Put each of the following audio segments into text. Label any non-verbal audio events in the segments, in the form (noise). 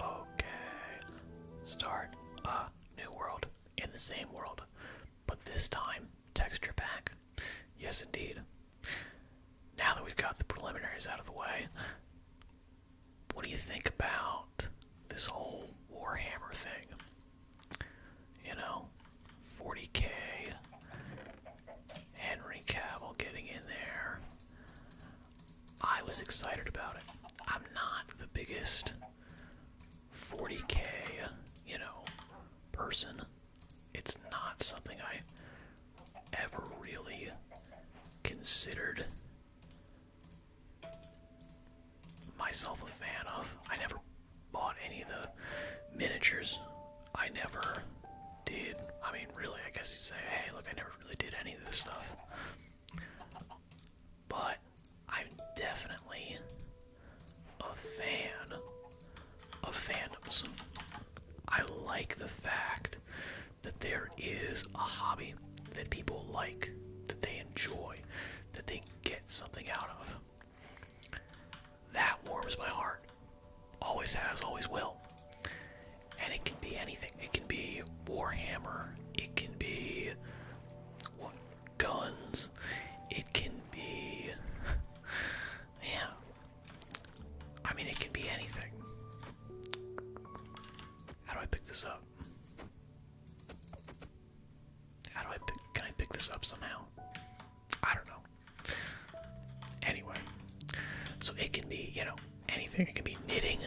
Okay, start a new world in the same world, but this time texture pack. Yes, indeed. Now that we've got the preliminaries out of the way, what do you think about this whole Warhammer thing? You know, 40k, Henry Cavill getting in there. I was excited about it. I'm not the biggest 40k, you know, person. It's not something I ever really considered myself a fan of. I never bought any of the miniatures. I never did. I mean, really, I guess you'd say, hey, look, I never really did any of this stuff. But I'm definitely a fan of fandoms. I like the fact that there is a hobby that people like, that they enjoy, that they get something out of. That warms my heart. Always has, always will and it can be anything. It can be Warhammer. It can be what guns. It can be (laughs) yeah. I mean, it can be anything. How do I pick this up? How do I pick? Can I pick this up somehow? I don't know. Anyway, so it can be you know anything. It can be knitting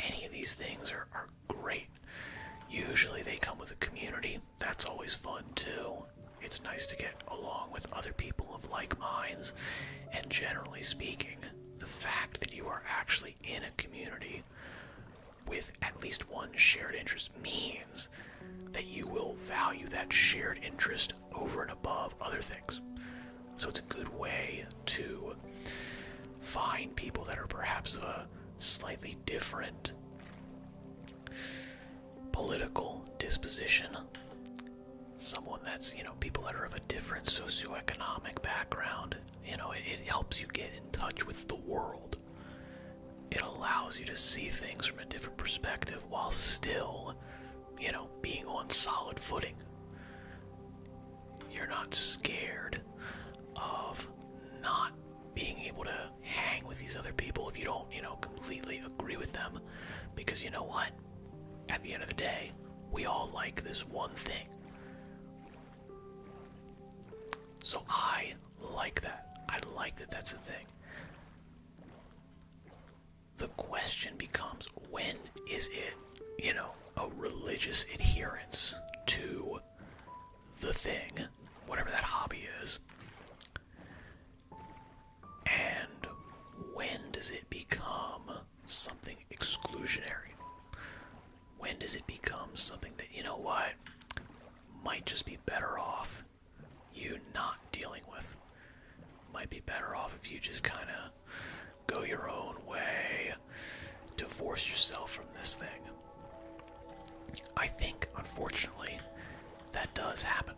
any of these things are, great. Usually they come with a community. That's always fun too. It's nice to get along with other people of like minds. And generally speaking, the fact that you are actually in a community with at least one shared interest means that you will value that shared interest over and above other things. So it's a good way to find people that are perhaps of a slightly different political disposition. Someone that's, you know, people that are of a different socioeconomic background. You know, it, it helps you get in touch with the world. It allows you to see things from a different perspective while still, you know, being on solid footing. You're not scared of not being able to hang with these other people if you don't, you know, completely agree with them. Because you know what? At the end of the day, we all like this one thing. So I like that. I like that that's the thing. The question becomes when is it, you know, a religious adherence to the thing, whatever that hobby is. And when does it become something exclusionary? When does it become something that, you know what, might just be better off you not dealing with? Might be better off if you just kind of Go your own way. Divorce yourself from this thing. I think, unfortunately, that does happen.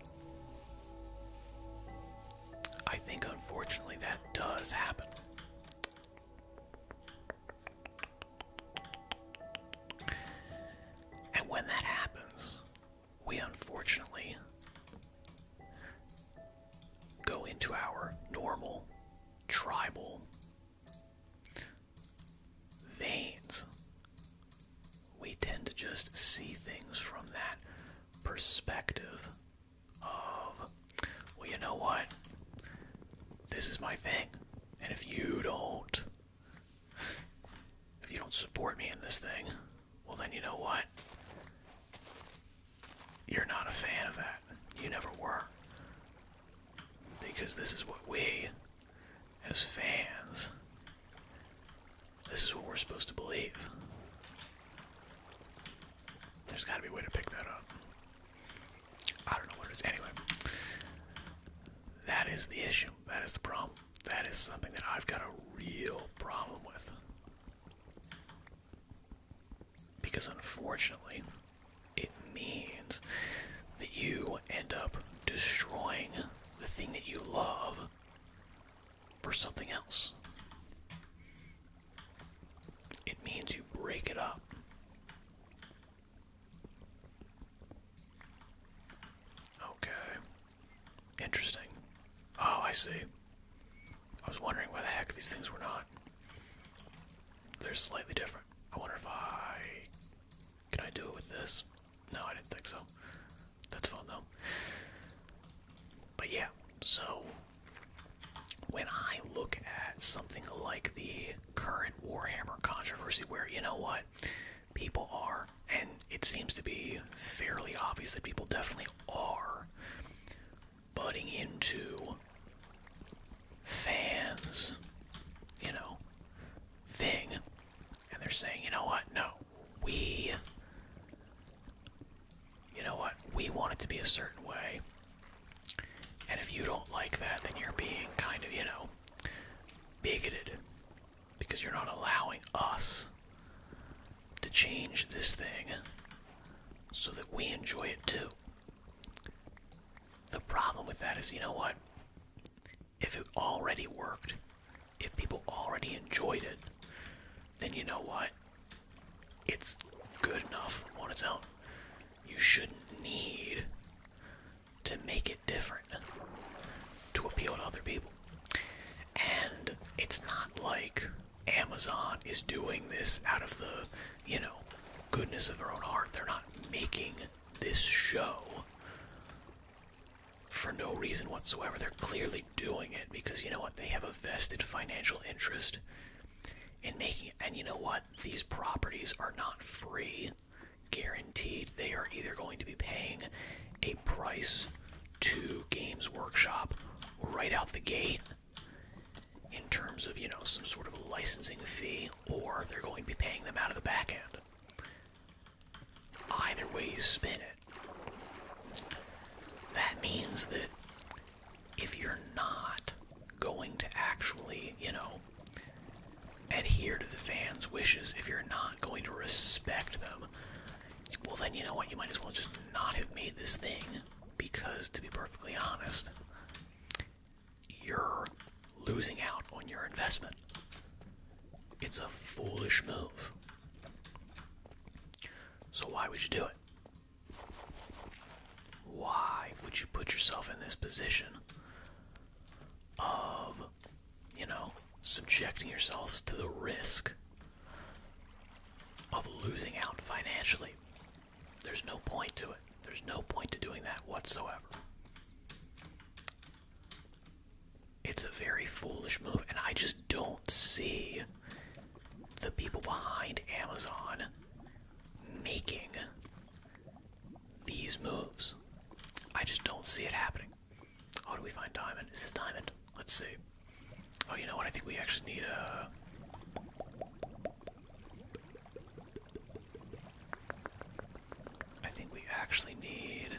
I think, unfortunately, that does happen. And when that happens, we unfortunately go into our normal tribal veins, we tend to just see things from that perspective of, well, you know what? This is my thing. And if you don't, if you don't support me in this thing, well, then you know what? you're not a fan of that. You never were. Because this is what we, as fans, this is what we're supposed to believe. There's gotta be a way to pick that up. I don't know what it is. Anyway, that is the issue. That is the problem. That is something that I've got a real problem with because unfortunately, it means that you end up destroying the thing that you love for something else. It means you break it up. Okay. Interesting. Oh, I see. I was wondering why the heck these things were not. They're slightly different. I wonder if I. Can I do it with this? No, I didn't think so. That's fun though. But yeah, so when I look at something like the current Warhammer controversy, where you know what? People are, and it seems to be fairly obvious that people definitely are butting into fans, you know, thing. And they're saying, you know what? No, we, you know what? We want it to be a certain way. And if you don't like that, then you're being kind of, you know, bigoted because you're not allowing us to change this thing so that we enjoy it too. The problem with that is, you know what? If it already worked, if people already enjoyed it, then you know what? It's good enough on its own. You shouldn't need to make it different to appeal to other people. And it's not like Amazon is doing this out of the, you know, goodness of their own heart. They're not making this show for no reason whatsoever. They're clearly doing it because you know what? They have a vested financial interest in making And you know what? These properties are not free, guaranteed. They are either going to be paying a price to Games Workshop right out the gate in terms of, you know, some sort of licensing fee, or they're going to be paying them out of the back end. Either way you spin it. That means that if you're not going to actually, you know, adhere to the fans' wishes, if you're not going to respect them, well, then you know what? You might as well just not have made this thing because, to be perfectly honest, you're losing out on your investment. It's a foolish move. So, why would you do it? Why would you put yourself in this position of, you know, subjecting yourself to the risk of losing out financially. There's no point to it. There's no point to doing that whatsoever. It's a very foolish move, and I just don't see the people behind Amazon making these moves. I just don't see it happening. Oh, do we find diamond? Is this diamond? Let's see. Oh, you know what? I think we actually need a. Uh, I think we actually need.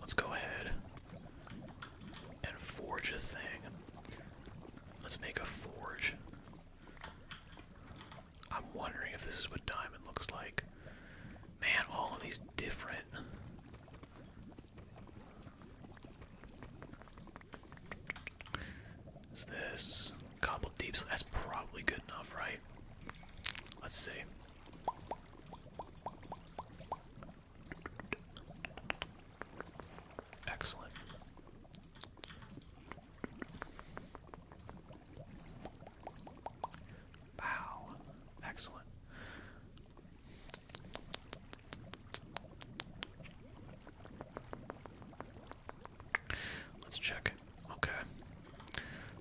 Let's go ahead and forge a thing. Let's make a forge. I'm wondering if this is what diamond looks like. Man, all these different is this cobbled deep? So that's probably good enough, right? Let's see. Excellent. Wow. Excellent. Let's check. Okay.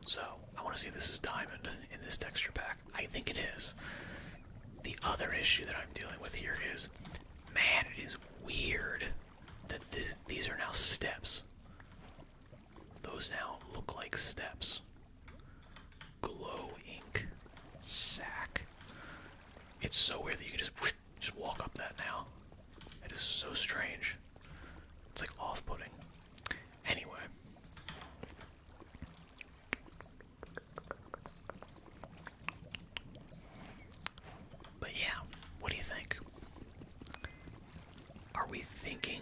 So, I want to see if this is diamond in this texture pack. I think it is. The other issue that I'm dealing with here is man, it is weird that these are now steps. Those now look like steps glow ink sack. It's so weird that you can just just walk up that now. It is so strange. It's like off-putting. Anyway. But yeah, what do you think? Are we thinking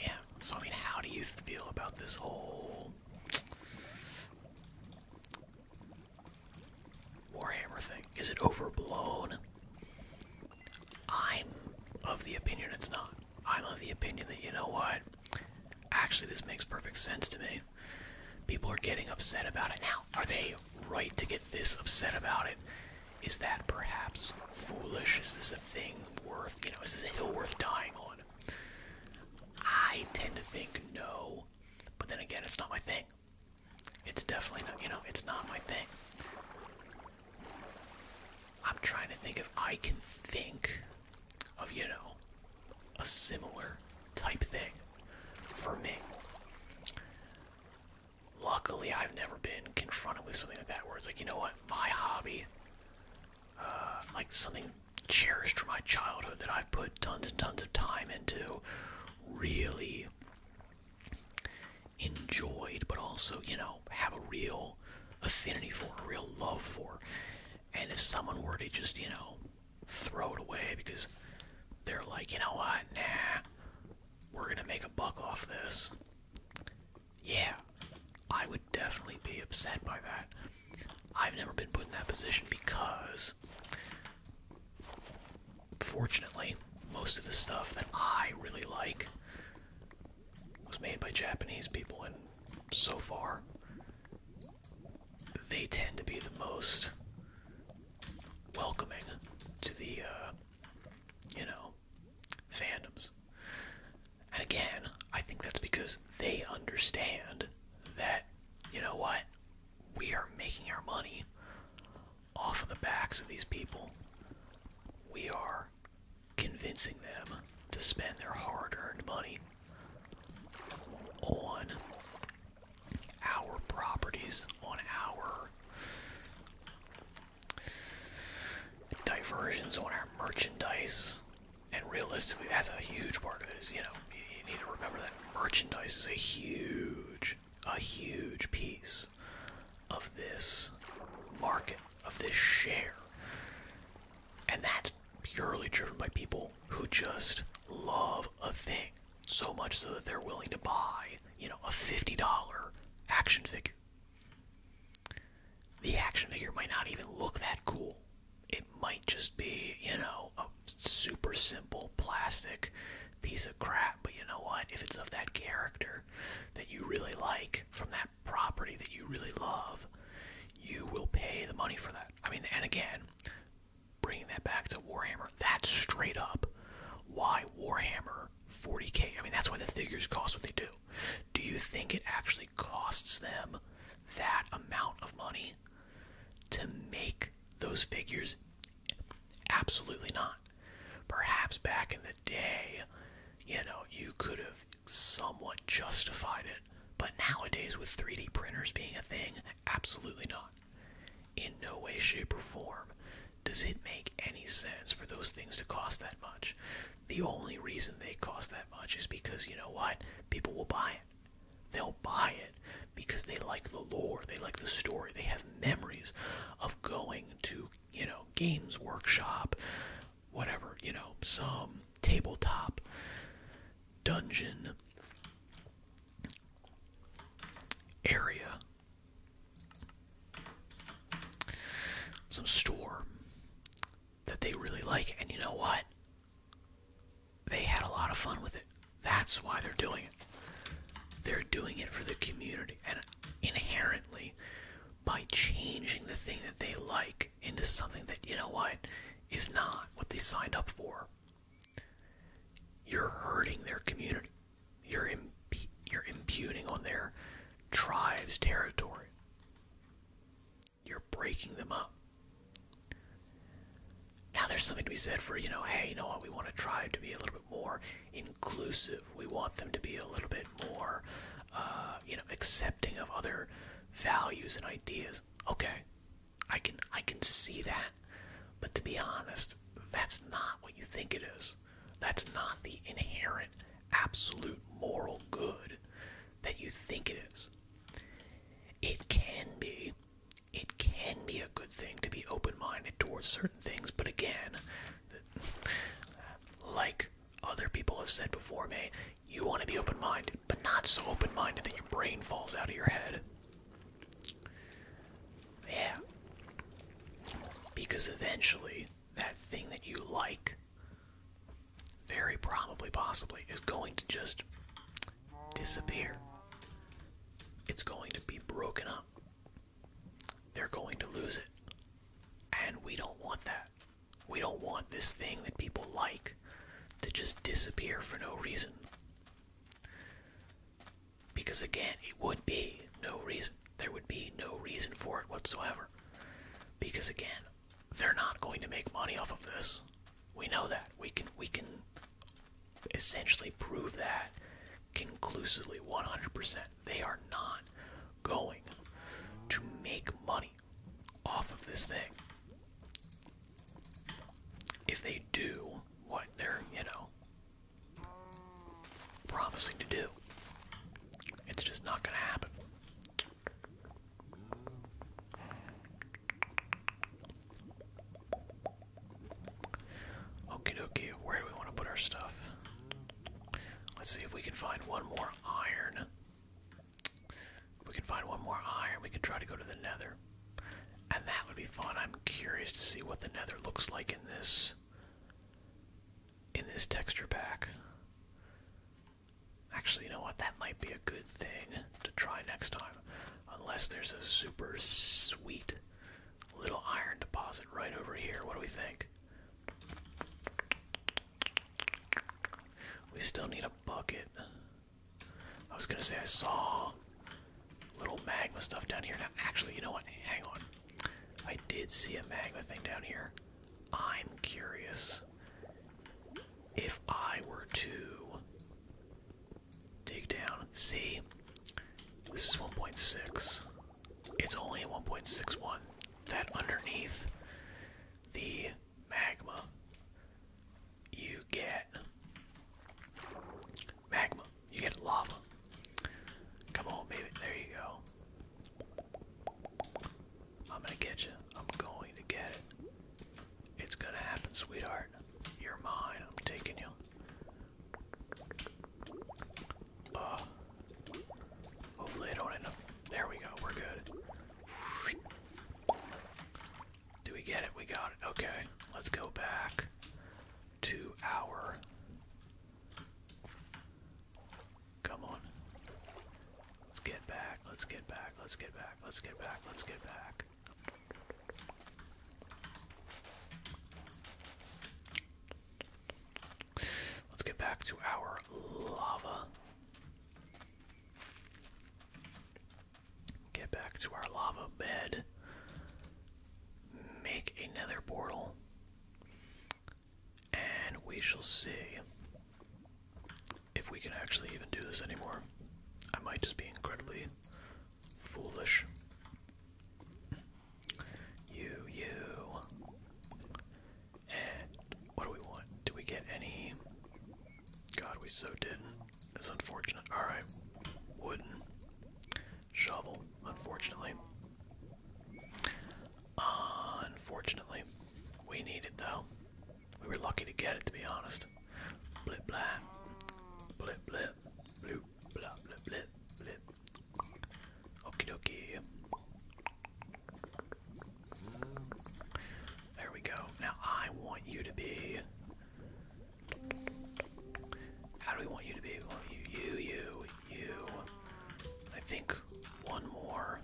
yeah, so I mean, how do you feel about this whole Warhammer thing? Is it overblown? I'm of the opinion it's not. I'm of the opinion that, you know what? Actually, this makes perfect sense to me. People are getting upset about it now. Are they right to get this upset about it? Is that perhaps foolish? Is this a thing worth, you know, is this a hill worth dying on? I tend to think no, but then again, it's not my thing. It's definitely not, you know, it's not my thing. I'm trying to think if I can think of, you know, a similar type thing for me. Luckily, I've never been confronted with something like that where it's like, you know what? my hobby, uh, like something cherished from my childhood that I've put tons and tons of time into, really enjoyed, but also, you know, have a real affinity for, a real love for. And if someone were to just, you know, throw it away because they're like, you know what, nah, we're gonna make a buck off this. Yeah, I would definitely be upset by that. I've never been put in that position because, fortunately, most of the stuff that I really like was made by Japanese people, and so far, they tend to be the most welcoming to the, uh, you know, fandoms. And again, I think that's because they understand that, you know what, we are making our money off of the backs of these people. We are convincing them to spend their hard earned money on our properties, on our diversions on our merchandise. And realistically, that's a huge part of it. Is you know you need to remember that merchandise is a huge, a huge piece of this market, of this share, and that's purely driven by people who just love a thing so much so that they're willing to buy, you know, a fifty dollar action figure the action figure might not even look that cool. It might just be, you know, a super simple plastic piece of crap. But you know what? If it's of that character that you really like, from that property that you really love, you will pay the money for that. I mean, and again, bringing that back to Warhammer, that's straight up why Warhammer 40k, I mean, that's why the figures cost what they do. Do you think it actually costs them that amount of money to make those figures? Absolutely not. Perhaps back in the day, you know, you could have somewhat justified it, but nowadays with 3D printers being a thing, absolutely not. In no way, shape, or form does it make any sense for those things to cost that much. The only reason they cost that much is because you know what? People will buy it. They'll buy it because they like the lore, they like the story, they have memories of going to, you know, games workshop, whatever, you know, some tabletop dungeon area some store that they really like, and you know what? They had a lot of fun with it. That's why they're doing it. They're doing it for the community, and inherently, by changing the thing that they like into something that, you know what, is not what they signed up for, you're hurting their community. You're, imputing on their tribe's territory. You're breaking them up. Now, there's something to be said for, you know, hey, you know what, we want a tribe to be a little bit more inclusive. We want them to be a little bit more, uh, you know, accepting of other values and ideas. Okay, I can, I can see that. But to be honest, that's not what you think it is. That's not the inherent, absolute moral good that you think it is. It can be. It can be a good thing to be open minded towards certain things, but again, like other people have said before me, you want to be open minded, but not so open minded that your brain falls out of your head. Yeah. Because eventually, that thing that you like, very probably, possibly, is going to just disappear. It's going to be broken up. They're going to lose it. And we don't want that. We don't want this thing that people like to just disappear for no reason. Because again, it would be no reason there would be no reason for it whatsoever. Because again, they're not going to make money off of this. We know that. We can we can essentially prove that conclusively 100%. They are not going to make money off of this thing. If they do what they're, you know, promising to do, it's just not gonna happen. Okie dokie, where do we want to put our stuff? Let's see if we can find one more iron. If we can find one more iron, we can try to go to the nether. And that would be fun. I'm curious to see what the nether looks like in this in this texture pack. Actually, you know what? That might be a good thing to try next time. Unless there's a super sweet little iron deposit right over here. What do we think? We still need a bucket. I was gonna say I saw little magma stuff down here. Now, actually, you know what? Hang on. I did see a magma thing down here. I'm curious if I were to dig down. See, this is 1.6. It's only 1.61. That underneath the magma, you get magma. You get lava. Come on, baby. There you go. I'm gonna get you. I'm going to get it. It's gonna happen, sweetheart. You're mine. I'm taking you. Ah. hopefully I don't end up. There we go. We're good. Do we get it? We got it. Okay. Let's go back to our Come on. Let's get back. Let's get back. Let's get back. Let's get back. Let's get back. Let's get back to our lava. Get back to our lava bed. Make another portal. And we shall see if we can actually even do this anymore. I might just be incredibly foolish. You, you. what do we want? Do we get any? God, we so didn't. It's unfortunate. Alright. Wooden. Shovel, unfortunately. Unfortunately, we need it though. We were lucky to get it, to be honest. Blip blah, blip blip, bloop blah blip blip blip. Okie dokie. There we go. Now I want you to be. How do we want you to be? We want you, you, you, you. I think one more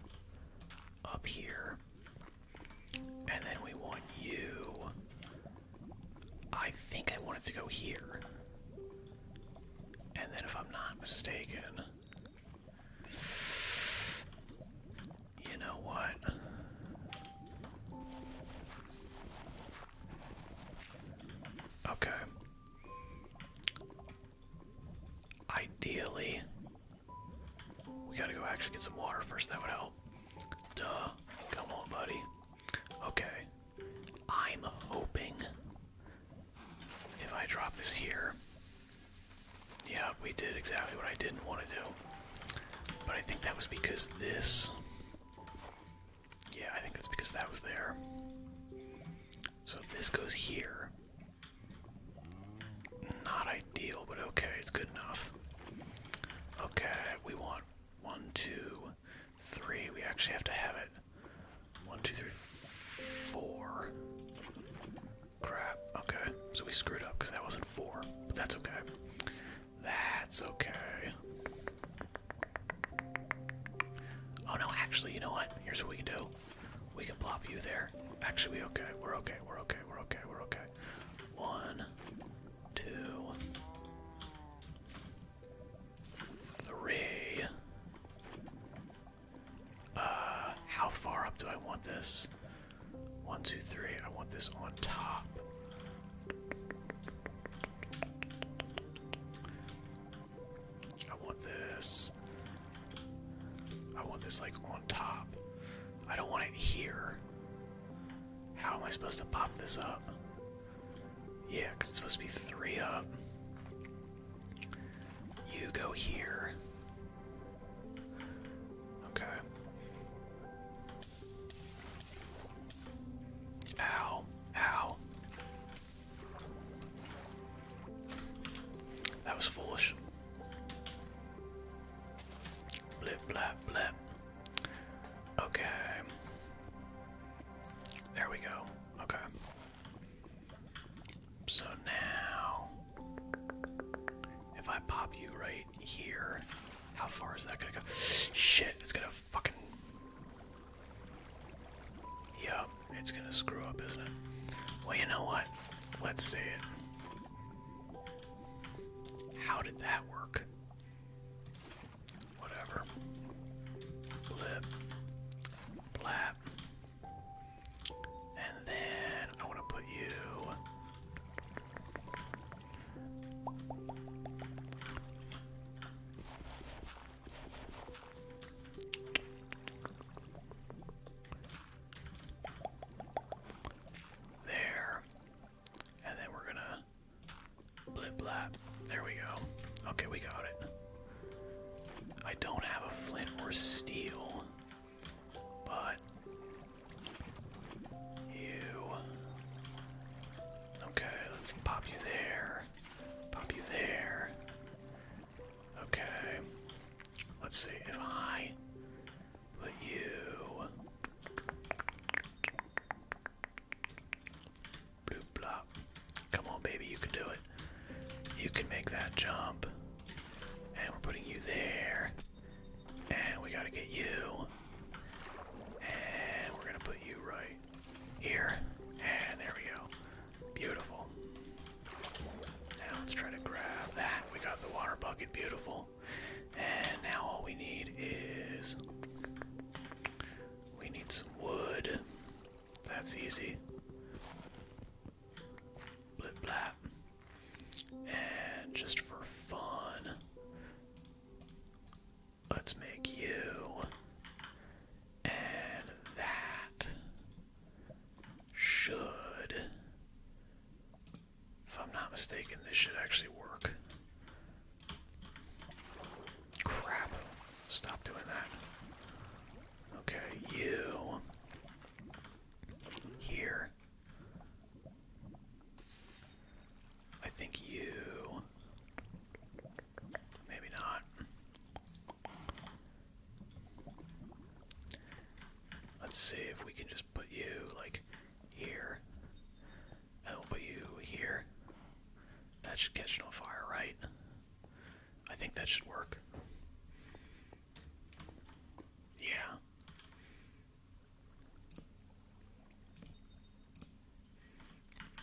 up here. And then we want you. I think I wanted to go here. And then, if I'm not mistaken, you know what? Okay. Ideally, we gotta go actually get some water first. That would help. Duh. Come on, buddy. Okay. I'm hoping if I drop this here. Yeah, we did exactly what I didn't want to do. But I think that was because this. Yeah, I think that's because that was there. So if this goes here, not ideal, but okay, it's good enough. Okay, we want one, two, three. We actually have to have it. One, two, three, four. Crap. Okay, so we screwed up because that wasn't four, but that's okay. That's okay. Oh no, actually, you know what? Here's what we can do. We can plop you there. Actually, we okay. We're okay. We're okay. We're okay. We're okay. One, two, three. Uh, how far up do I want this? One, two, three. I want this on top. I want this. I want this like on top. I don't want it here. How am I supposed to pop this up? Yeah, because it's supposed to be three up. You go here. Okay. Ow. Ow. That was foolish. Blip, blap, blip. Okay. There we go. Okay. So now, if I pop you right here, how far is that gonna go? Shit, it's gonna fucking Yup, it's gonna screw up, isn't it? Well, you know what? Let's see it. How did that work? Whatever. Blip. Blap. And then I want to put you. There. And then we're gonna blip blap. There we go. Okay, we got it. I don't have a flint or steel, but you. Okay, let's pop you there. Pop you there. Okay. Let's see if I put you. Come on, baby, you can do it. You can make that jump. And we're putting you there. And we gotta get you. And we're gonna put you right here. And there we go. Beautiful. Now let's try to grab that. We got the water bucket. Beautiful. And now all we need is. We need some wood. That's easy. Blip blap. And just for fun, let's make you and that should, if I'm not mistaken, this should actually work. Crap. Stop doing that. Okay, you. Here. I think you. Maybe not. Let's see if we can just put you like here. And will put you here. That should catch no fire, right? I think that should work. Yeah.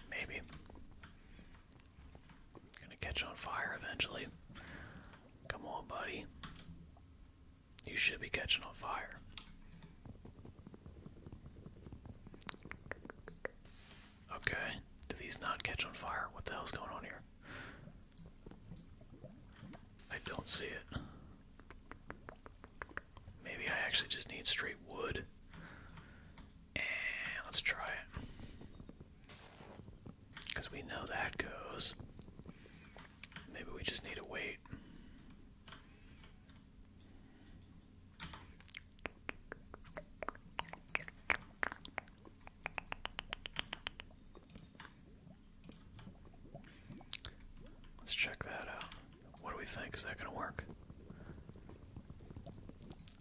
Maybe. Gonna catch on fire eventually. Come on, buddy. You should be catching on fire. Okay. Do these not catch on fire? What the hell's going on here? I don't see it. Maybe I actually just need straight wood let's try it. Because we know that goes. Maybe we just need to wait. Let's check that out. What do we think? Is that going to work?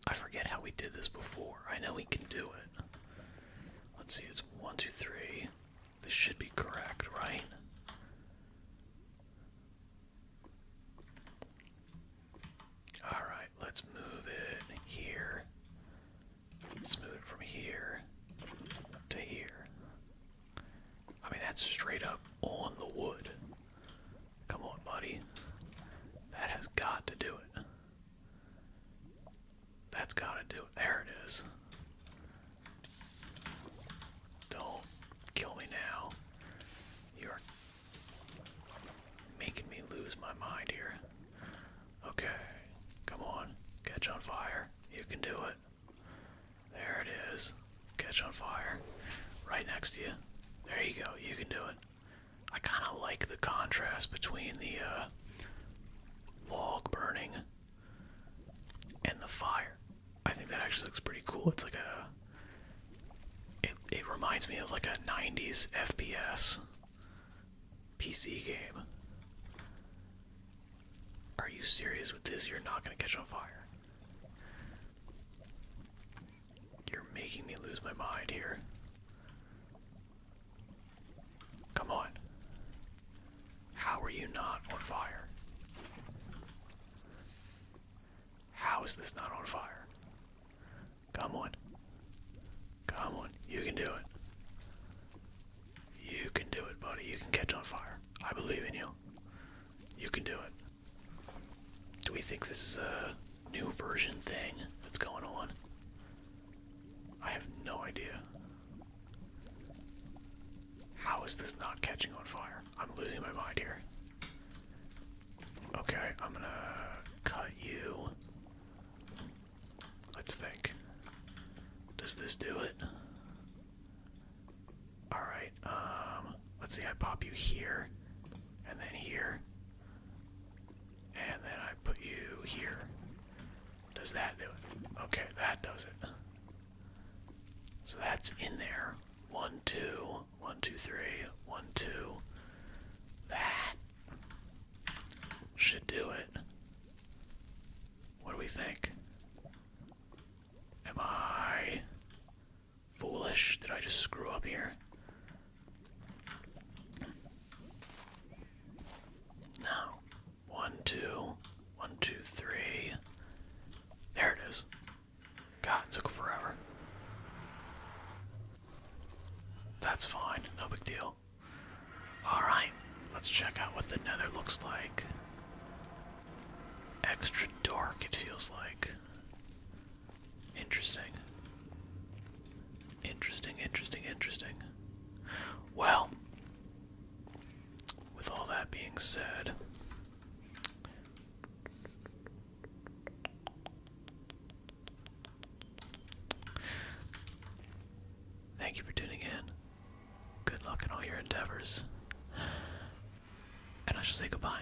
I forget how we did this before. I know we can do it. Let's see, it's one, two, three. This should be correct, right? Alright, let's move it here. move it from here to here. I mean, that's straight up on the wood. Come on, buddy. That has got to do it. That's got to do it. There it is. Don't kill me now. You're making me lose my mind here. Okay, come on. Catch on fire. You can do it. There it is. Catch on fire. Right next to you. There you go. You can do it. I kind of like the contrast between the uh, log burning and the fire. I think that actually looks pretty cool. It's like a. It, it reminds me of like a 90s FPS PC game. Are you serious with this? You're not gonna catch on fire. You're making me lose my mind here. Come on. How are you not on fire? How is this not on fire? Come on. Come on. You can do it. You can do it, buddy. You can catch on fire. I believe in you. You can do it. Do we think this is a new version thing that's going on? I have no idea. How is this not catching on fire? I'm losing my mind here. Okay, I'm gonna cut you. Let's think. Does this do it? Alright, um, let's see, I pop you here, and then here, and then I put you here. Does that do it? Okay, that does it. So that's in there. One, two, one, two, three, one, two. That should do it. What do we think? Am I Foolish. Did I just screw up here? No. One, There it is. God, it took forever. That's fine. No big deal. Alright, let's check out what the nether looks like. Extra dark, it feels like. Interesting. Interesting, interesting, interesting. Well, with all that being said, thank you for tuning in. Good luck in all your endeavors. And I shall say goodbye.